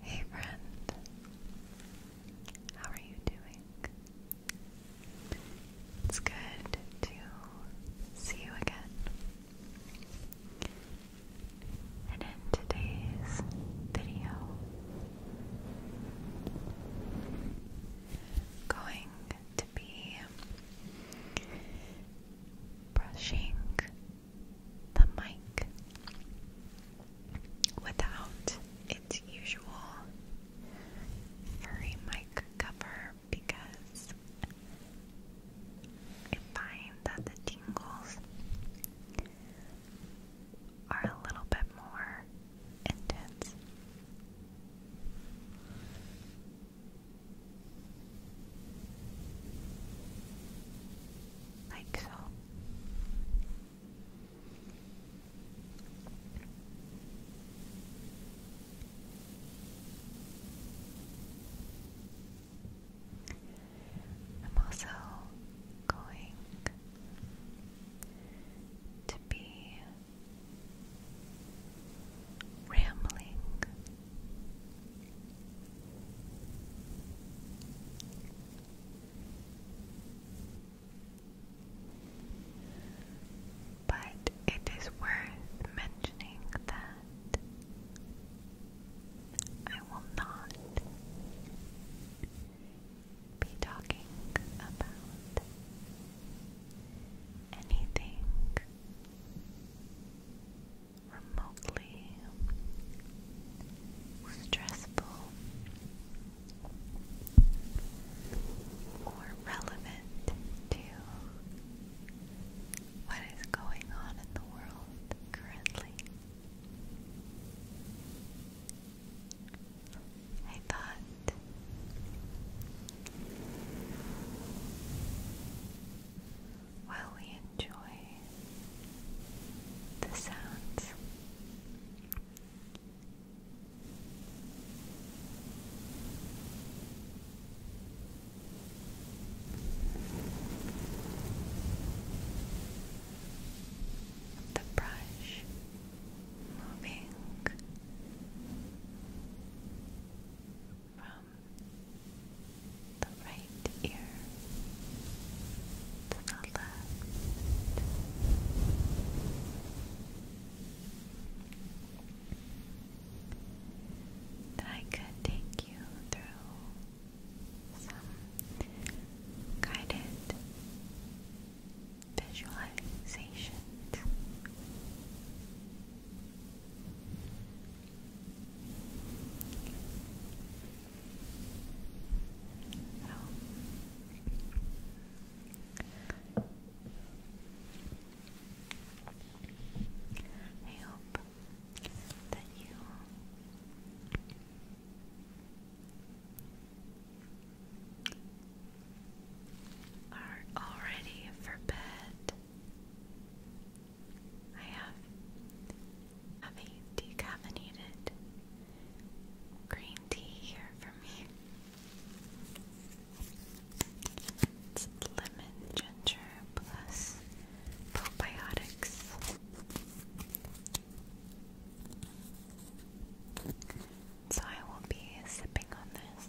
Hey friend, how are you doing? It's good to see you again. And in today's video, going to be brushing the mic without its usual furry mic cover because I find that the tingles are a little bit more intense like so. I'm also going to be rambling but it is worth mentioning that I will not be talking about anything remotely stressful or relevant to what is going on in the world currently. I thought while we enjoy the sounds. The brush moving from the right ear the left. I could take you through some guided visualizations so, I hope that you are all ready for bed. I have, a decaffeinated green tea here for me. It's lemon ginger plus probiotics. So I will be sipping on this.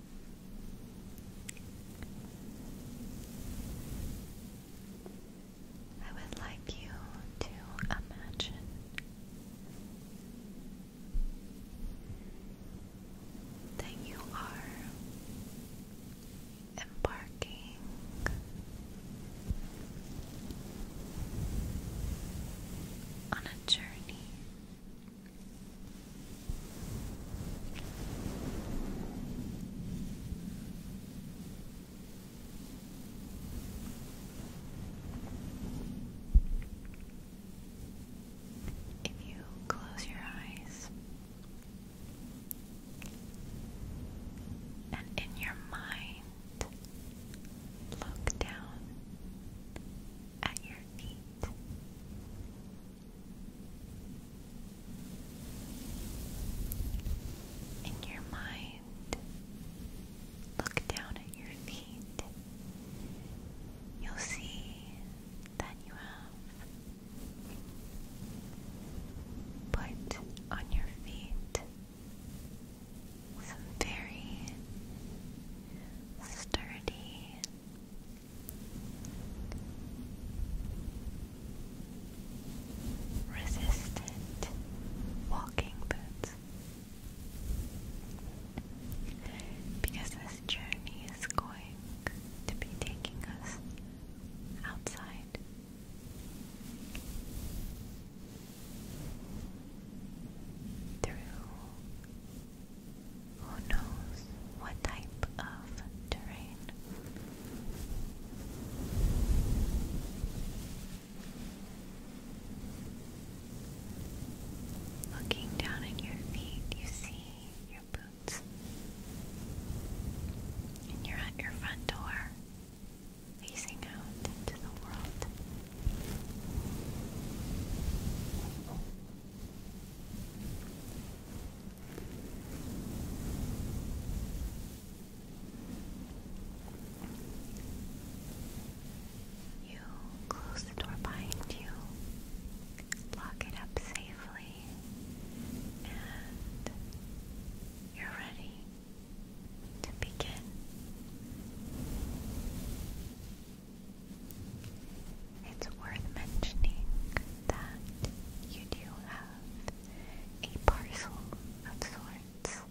I would like you to imagine that you are embarking on a journey if you close your eyes and in your mind look down at your feet. In your mind, look down at your feet. You'll see that you have put on your feet some very sturdy Resistant walking boots. Because this journey is going to be taking us outside. Through who knows what type of terrain? Looking down at your feet, you see your boots. And you're at your front door, facing out into the world. You close the door behind you, lock it up safely, and you're ready to begin. It's worth mentioning that you do have a parcel of sorts.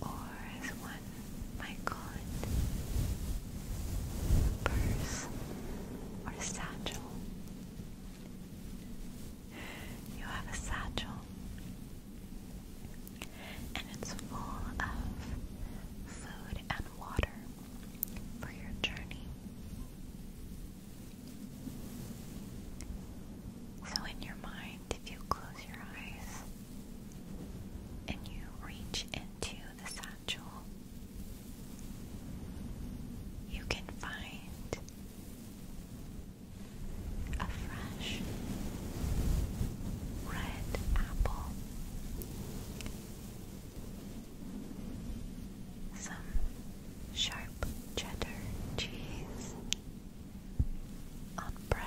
Or as one might call purse or satchel. You have a satchel, and it's full of food and water for your journey. So, in your mind, if you close your eyes and you reach into the satchel, you can find a fresh red apple, some sharp cheddar cheese on bread.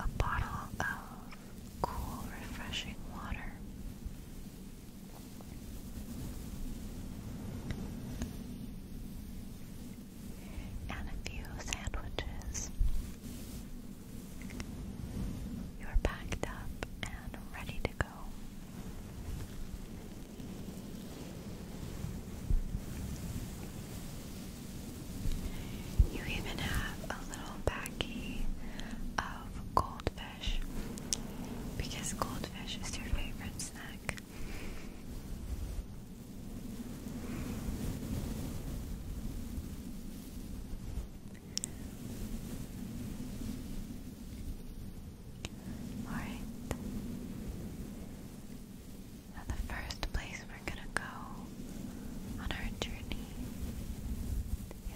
A bottle of cool, refreshing water. And a few sandwiches. You're packed up and ready to go. You even have a little baggie of goldfish because goldfish is your favorite snack. Alright. Now, the first place we're gonna go on our journey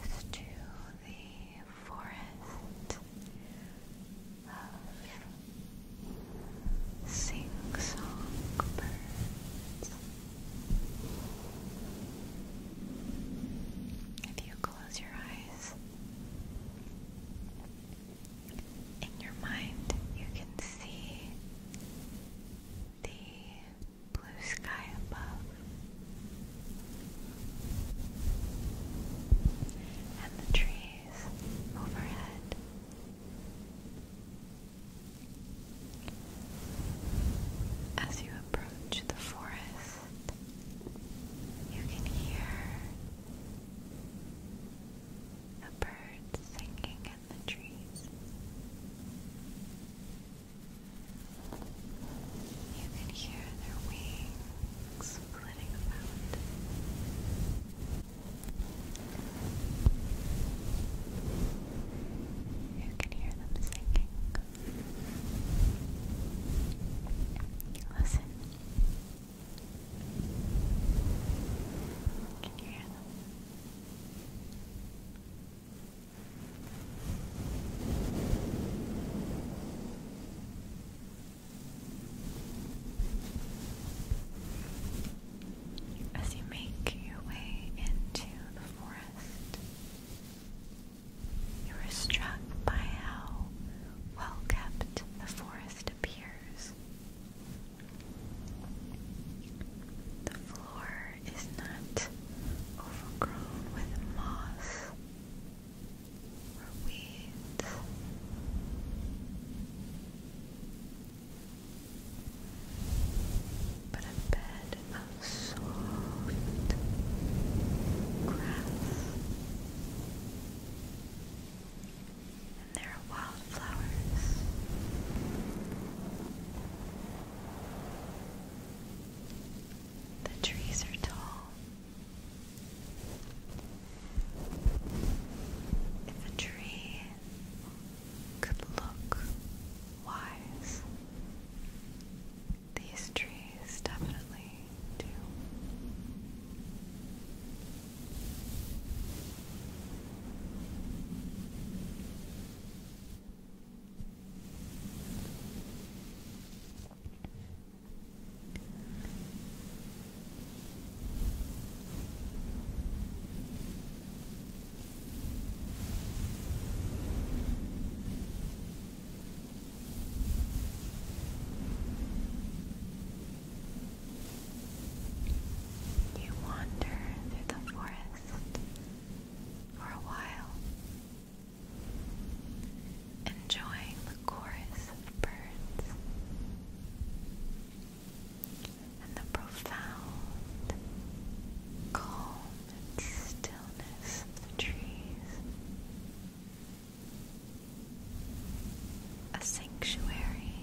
is the forest of sing-song birds. If you close your eyes, in your mind you can see the blue sky above, and the trees overhead. As you approach the forest, you can hear the birds singing in the trees. You can hear their wings flitting about. You can hear them singing. Listen. Can you hear them? As you make your way into the forest, you are struck by how well kept the forest appears. The floor is not overgrown with moss or weeds. But a bed of soft grass. And there are wildflowers. The trees are tall. If a tree could look wise, these trees definitely do. You wander the forest for a while, enjoying the chorus of birds and the profound calm and stillness of the trees. A sanctuary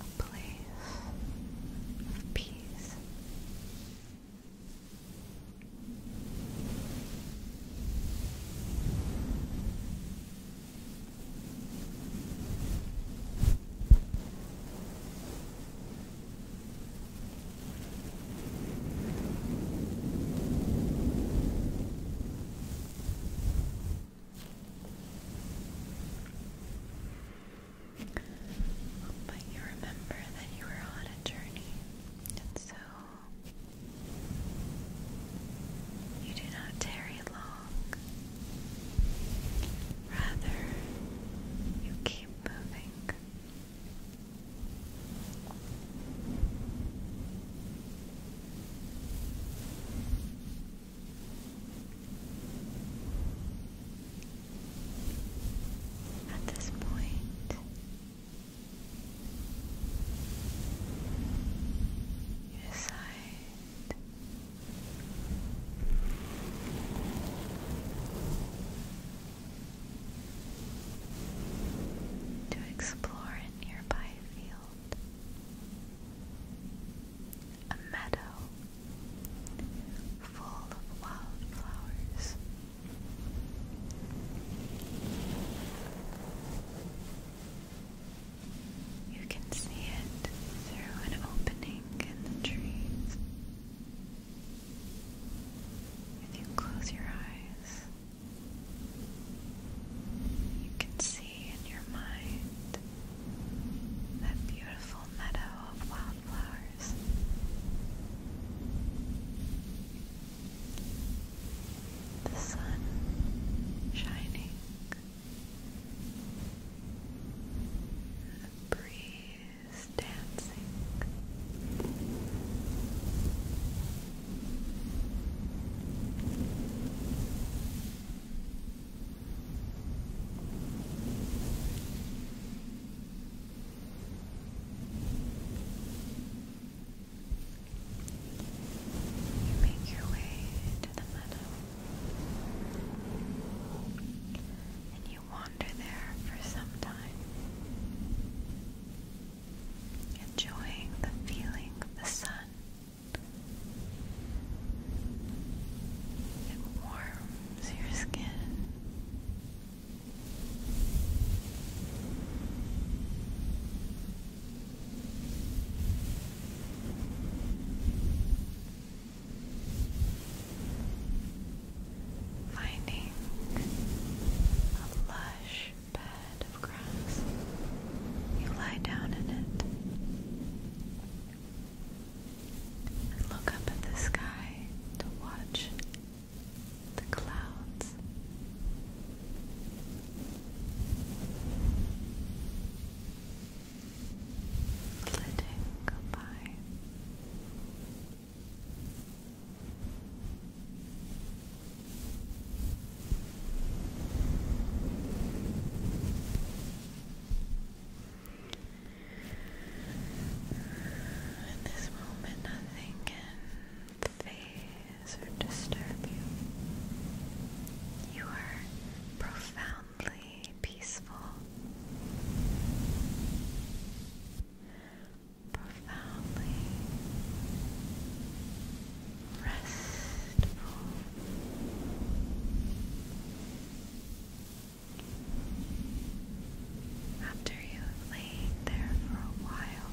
a place of peace. But you remember that you were on a journey, and so you do not tarry long. Rather, you keep moving. At this point, you decide to explore a nearby field a meadow full of wildflowers. You can see it through an opening in the trees. If you close your eyes, you can see body your mind that beautiful meadow of wildflowers. The sun shining, the breeze dancing. You make your way to the meadow and you wander there for some time, enjoying the feeling of the sun it warms your skin. Finding a lush bed of grass, you lie down in it, and look up at the sky to watch the clouds. Flitting by. In this moment, nothing can phase or disturb you. You are profoundly peaceful, profoundly restful. After you have there for a while,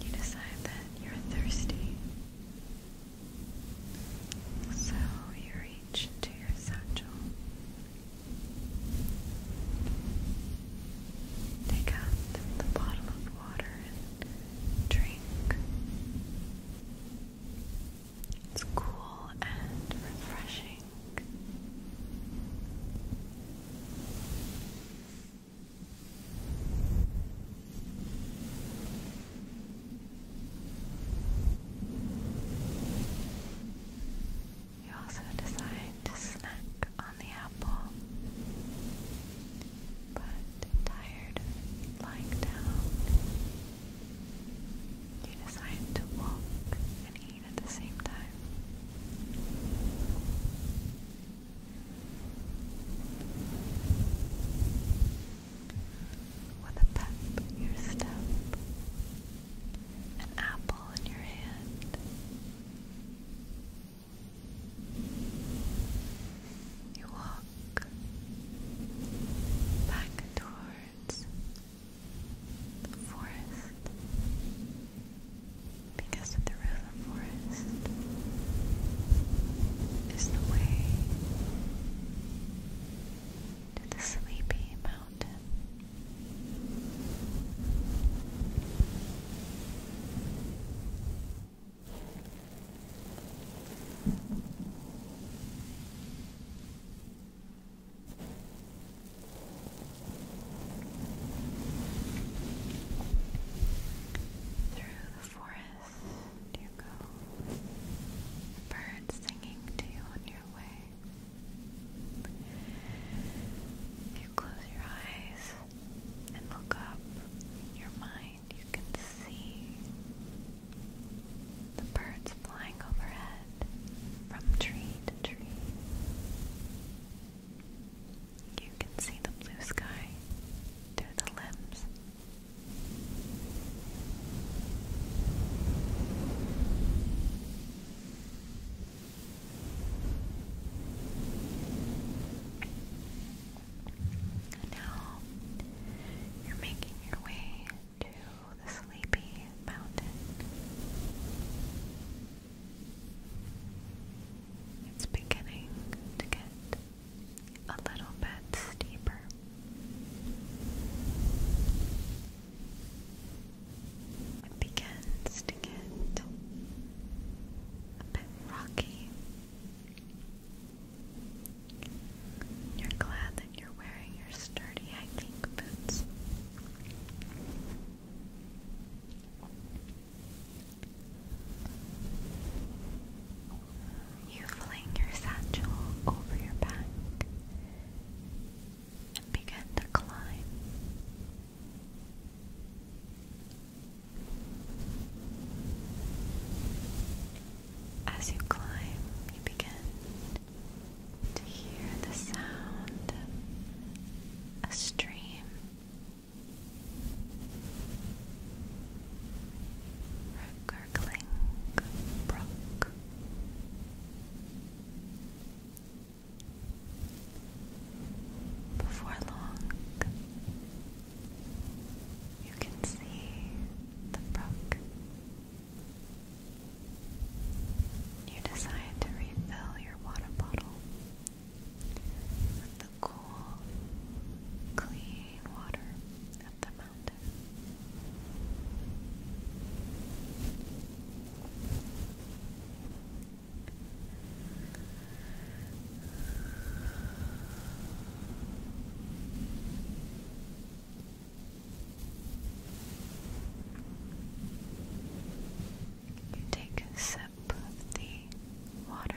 you decide that you're thirsty. So you reach into your satchel, take out the bottle of water drink. It's cool and refreshing. You also decide wanted to snack on the apple, but tired lying down, you decided to walk and eat at the same time. With a pep in your step, an apple in your hand, you walk back towards the forest because the river forest is the way to the sleepy mountain. Through the forest you go, birds singing to you on your way. You close your eyes and look up in your mind, you can see the birds flying overhead from tree to tree. You can see the blue sky through the limbs. And now you're making your way to the sleepy mountain. It's beginning to get a little bit steeper. It begins to to a bit rocky. You're glad that you're wearing your sturdy hiking boots. You fling your satchel over your back and begin to climb as you climb, you begin to hear the sound a stream. A gurgling brook before long, you can see the brook. You decide to refill your water bottle with the cool, clean water of the mountain. You take a sip of the water,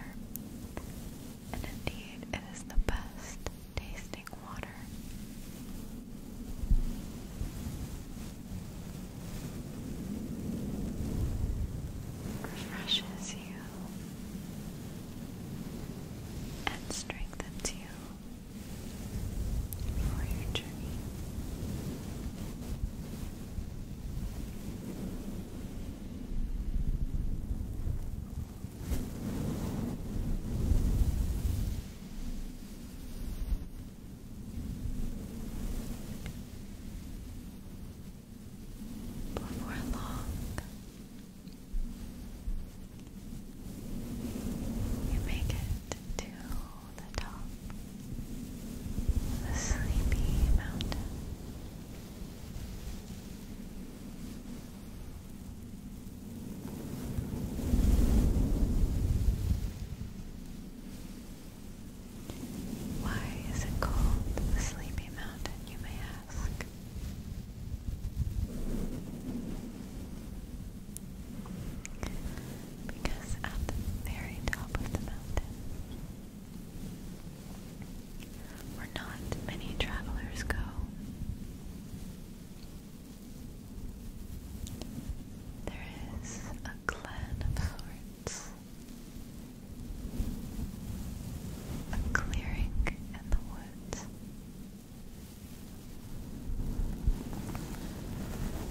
and indeed, it is the best tasting water refreshes you and strengthens you for your journey. Before long, you make it to the top of the sleepy mountain. Why is it called the Sleepy Mountain, you may ask? Because at the very top of the mountain, where not many travelers go, there is a glen of sorts silence, clearing in the woods.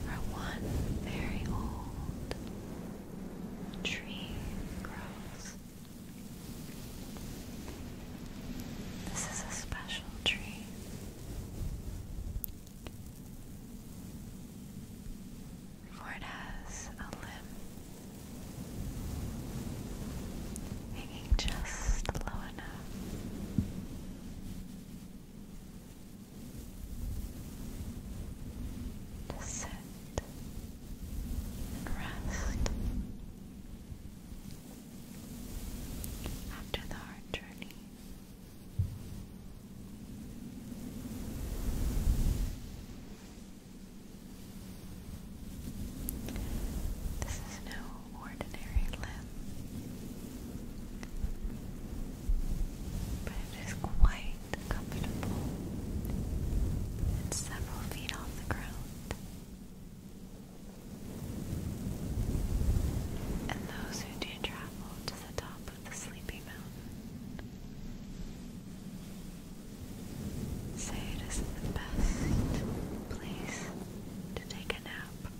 Where one very old tree grows. This is a special tree for it has a limb hanging just low enough to sit and rest after the hard journey. This is no ordinary limb, but it is quite comfortable. It's several feet off the ground. And those who do travel to the top the sleepy mountain. Say it isn't the best place to take a nap.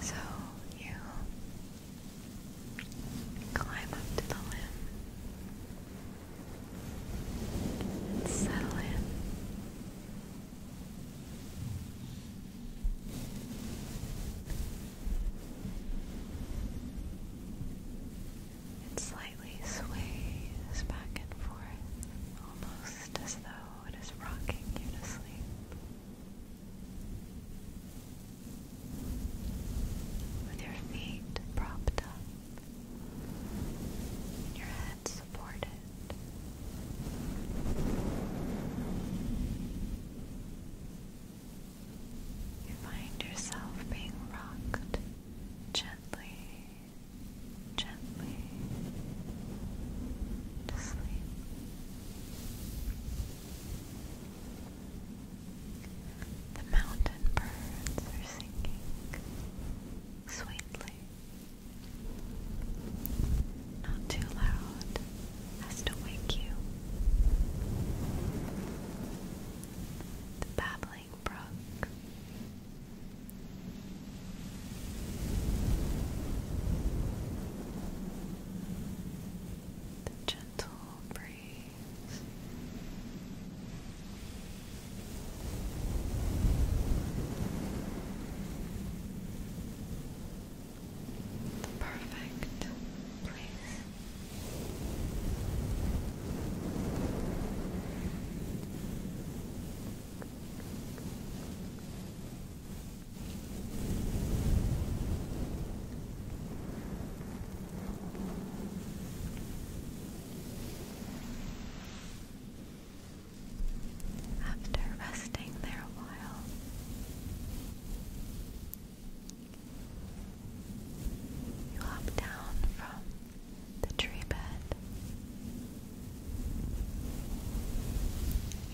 So you climb up to the limb and settle in. It slightly sways back and forth, almost as though it is rocking you to sleep. With your feet propped up your head supported. You find yourself being rocked gently, gently to sleep. The mountain birds are singing sweetly. Not too loud as to wake you. The babbling brook. The gentle breeze. The perfect place. After resting there a while, you hop down from the tree bed.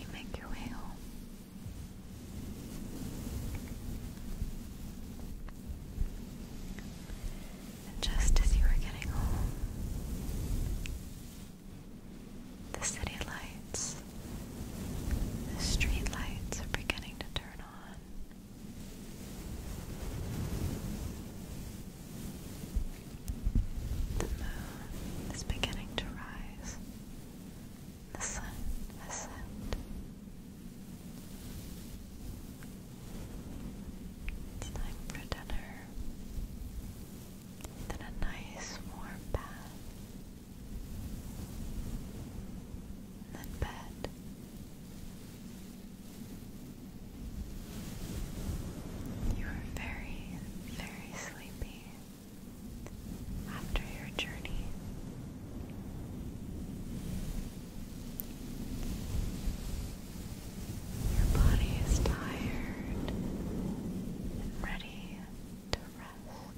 You make your way home. And just as you were getting home, the city lights, the street lights are beginning to turn on. The moon is beginning to rise. The sun has set. It's time for dinner. Then a nice warm bath. then bed. You are very, very sleepy after your journey. Your body is tired and ready to rest.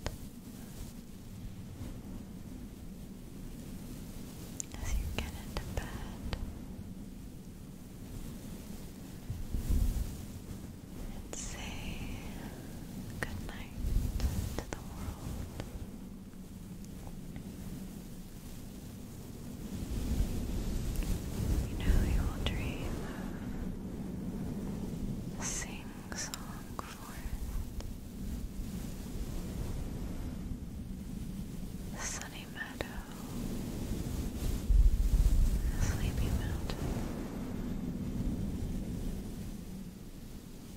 As you get into bed, and say good night to the world. You know you will dream sing song for it. sunny meadow, sleepy mountain.